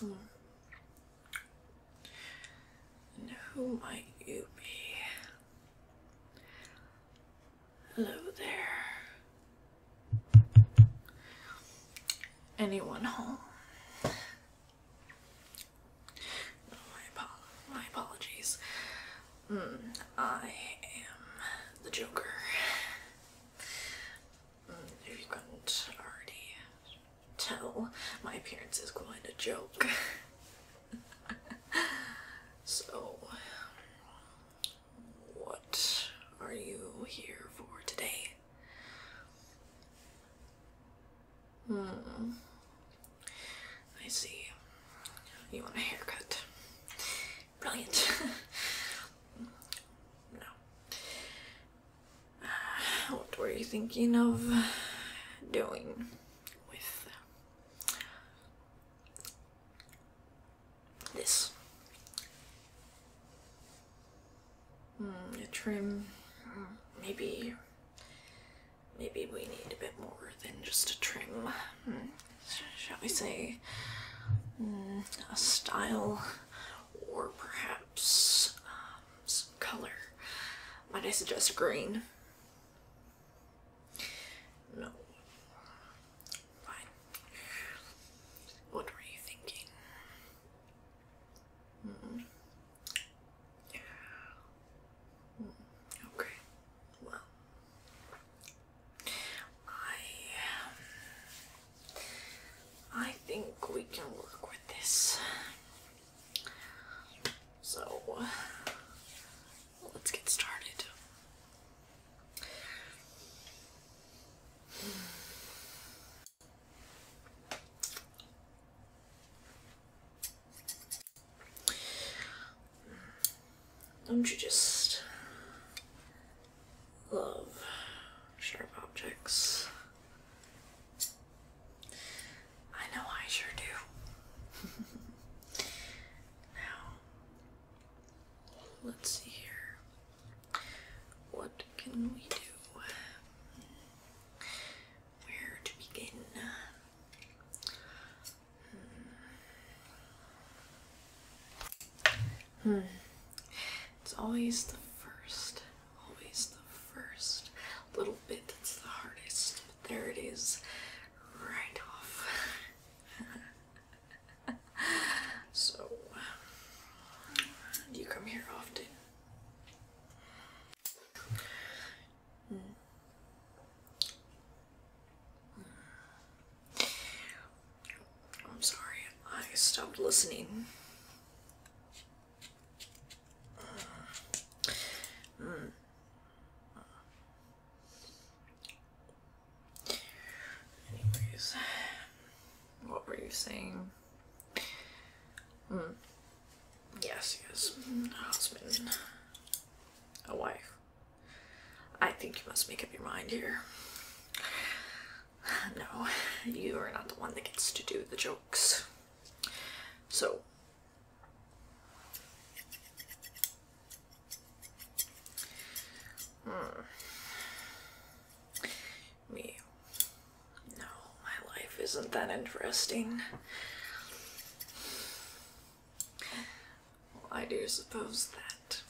Mm. And who might you be? Hello there anyone home. my, apologies. Mm, I am the Joker. if hmm, you couldn't already tell, my appearance is quite a joke. so, what are you here for today? Hmm. I see. You want a haircut. Brilliant. no. Uh, what were you thinking of doing with this. Mm, a trim, maybe, maybe we need a bit more than just a trim. Hmm, shall we say, mm, a style, or perhaps um, some color. Might I suggest green? No. Fine. What were you thinking? Mm -mm. Mm, okay. Well, I um, I think we can work with this. So, let's get started. Don't you just love sharp objects? I know I sure do. now, let's see here. What can we do? Where to begin? Hmm. hmm. It's always the first, always the first little bit that's the hardest. But there it is, right off. so, do you come here often? Hmm. I'm sorry, I stopped listening. Hmm. Hmm. Anyways, what were you saying? Mm. Yes, yes. A husband. A wife. I think you must make up your mind here. No, you are not the one that gets to do the jokes. So, hmm. Me. No, my life isn't that interesting. Well, I do suppose that.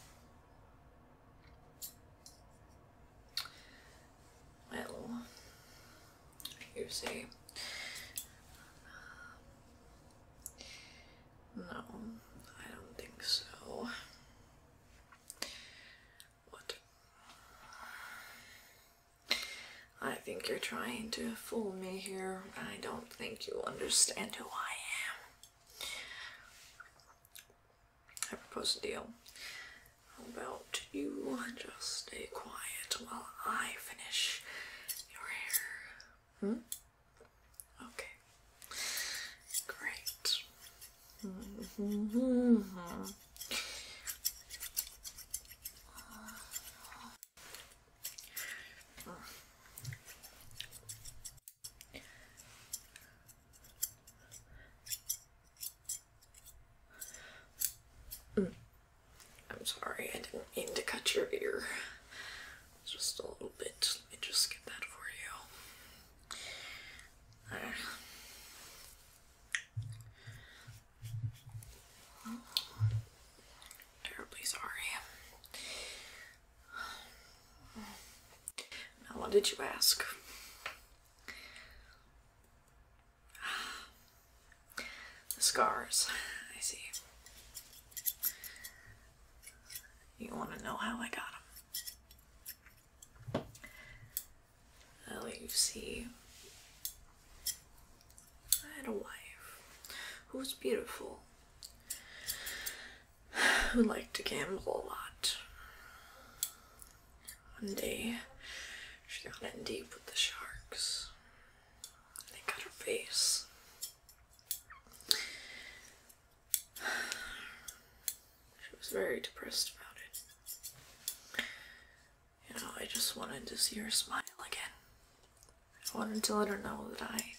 Well, you see. No, I don't think so. What? I think you're trying to fool me here. I don't think you understand who I am. I propose a deal. How about you just stay quiet while I finish your hair? Hmm? Okay. Great. Mm. I'm sorry, I didn't mean to cut your ear. Just a little bit. Let me just get that for you terribly sorry. Now, what did you ask? The scars. I see. You want to know how I got them? i let you see. I had a wife who was beautiful, who liked to gamble a lot. One day, she got in deep with the sharks. They cut her face. She was very depressed about it. You know, I just wanted to see her smile again. I wanted to let her know that I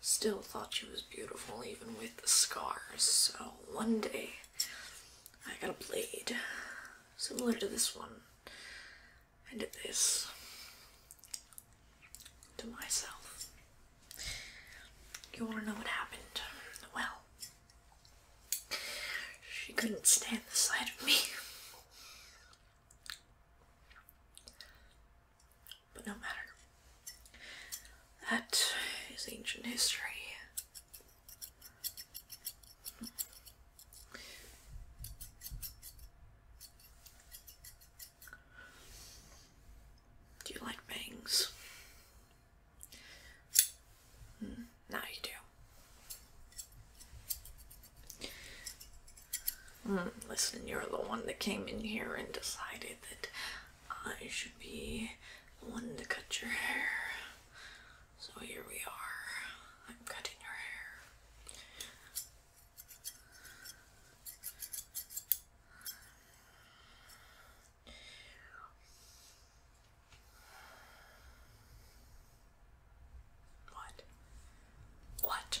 still thought she was beautiful even with the scars. So one day, I got a blade similar to this one. I did this to myself. You want to know what happened? Well, she couldn't stand the sight of me. But no matter. That is ancient history. Do you like bangs? Hmm, now you do. Hmm, listen, you're the one that came in here and decided that I should be the one to cut your hair. So here we are. I'm cutting your hair. What? What?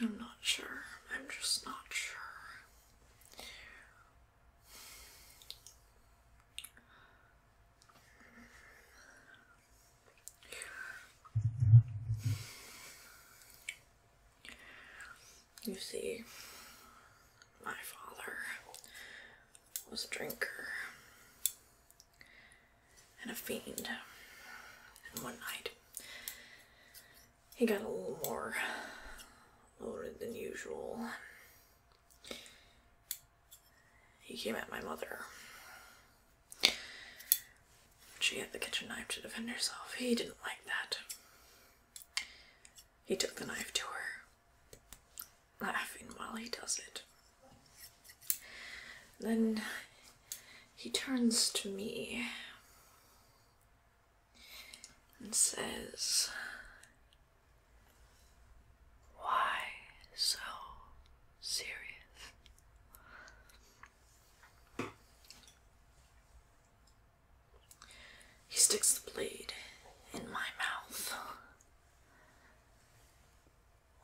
I'm not sure. I'm just not sure. You see, my father was a drinker and a fiend. And one night, he got a little more loaded than usual. He came at my mother. She had the kitchen knife to defend herself. He didn't like that. He took the knife to her, laughing while he does it. Then he turns to me and says, Why so serious? He sticks the blade in my mouth.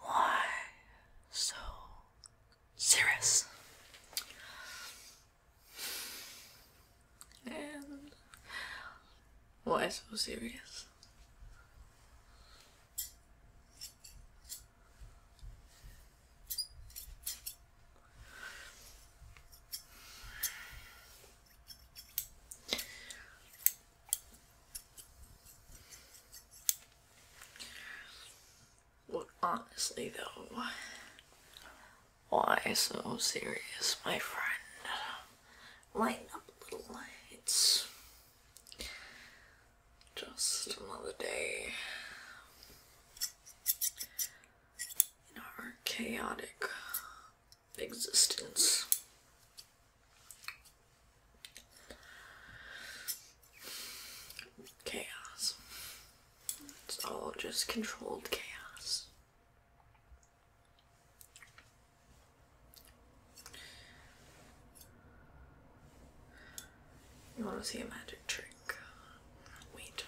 Why so serious. And why so serious? Well, honestly, though, why so serious, my friend? Light up the lights. just another day in our chaotic existence. Chaos. It's all just controlled chaos. You want to see a magic trick? Wait.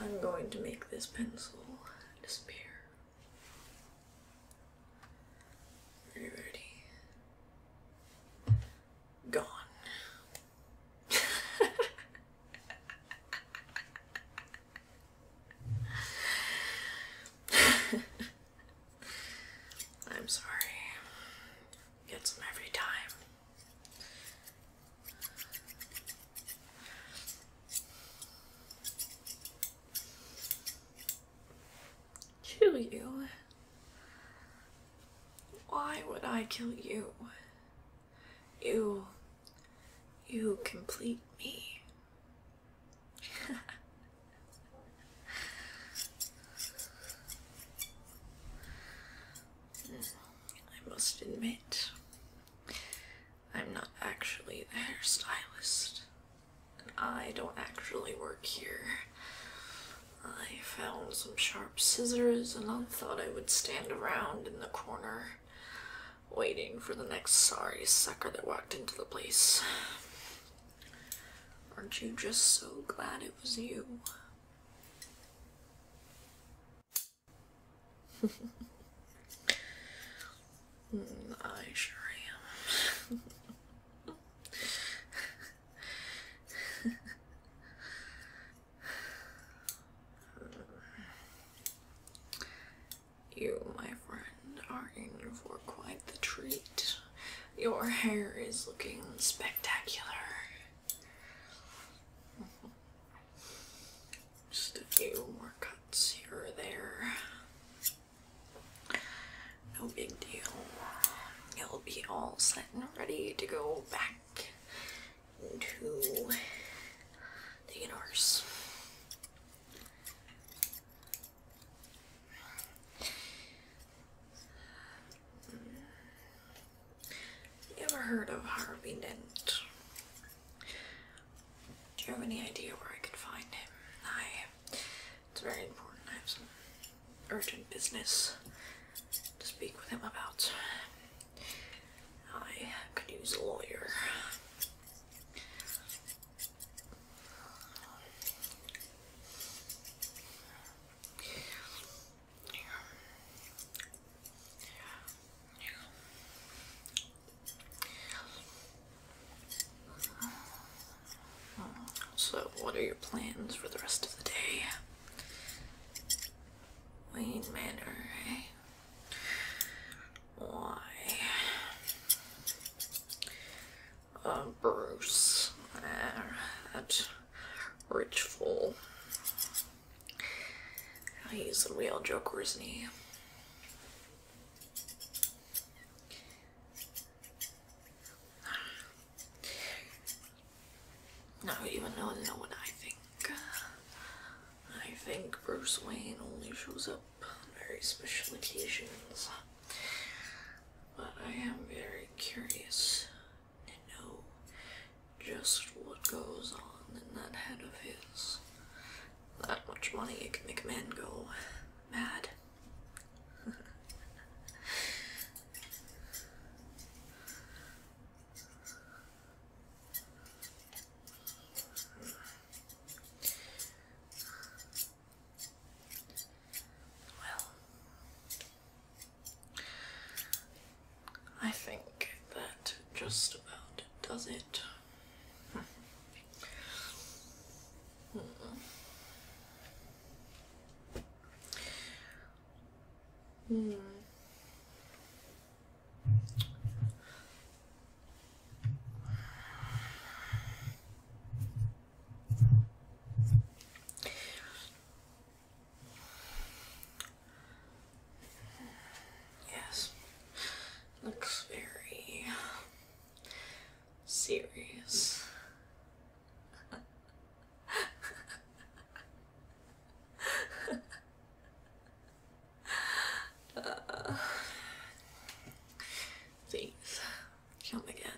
I'm going to make this pencil disappear. Alrighty. Gone. I'm sorry. Gets them every time. Kill you? Why would I kill you? You. You complete me. I must admit, I'm not actually the hairstylist. I don't actually work here. I found some sharp scissors and I thought I would stand around in the corner waiting for the next sorry sucker that walked into the place. Aren't you just so glad it was you? Hmm, I sure am. you, my friend, are in for quite the treat. Your hair is looking spectacular. Just a few more cuts here or there. No big deal. You'll be all set and ready to go back into the universe. ever heard of Harvey Dent? Do you have any idea where I could find him? I it's very important. I have some urgent business to speak with him about. I could use a lawyer. So, what are your plans for the rest of the day? Wayne Manor, eh? Why? Uh, Bruce. that rich fool. He's a real joker, isn't he? Now even though no one I think uh, I think Bruce Wayne only shows up on very special occasions. But I am very curious to know just what goes on in that head of his. That much money can make a man go mad well, I think that just about does it. Hmm. Hmm. Yes, looks very Serious. uh, please come again.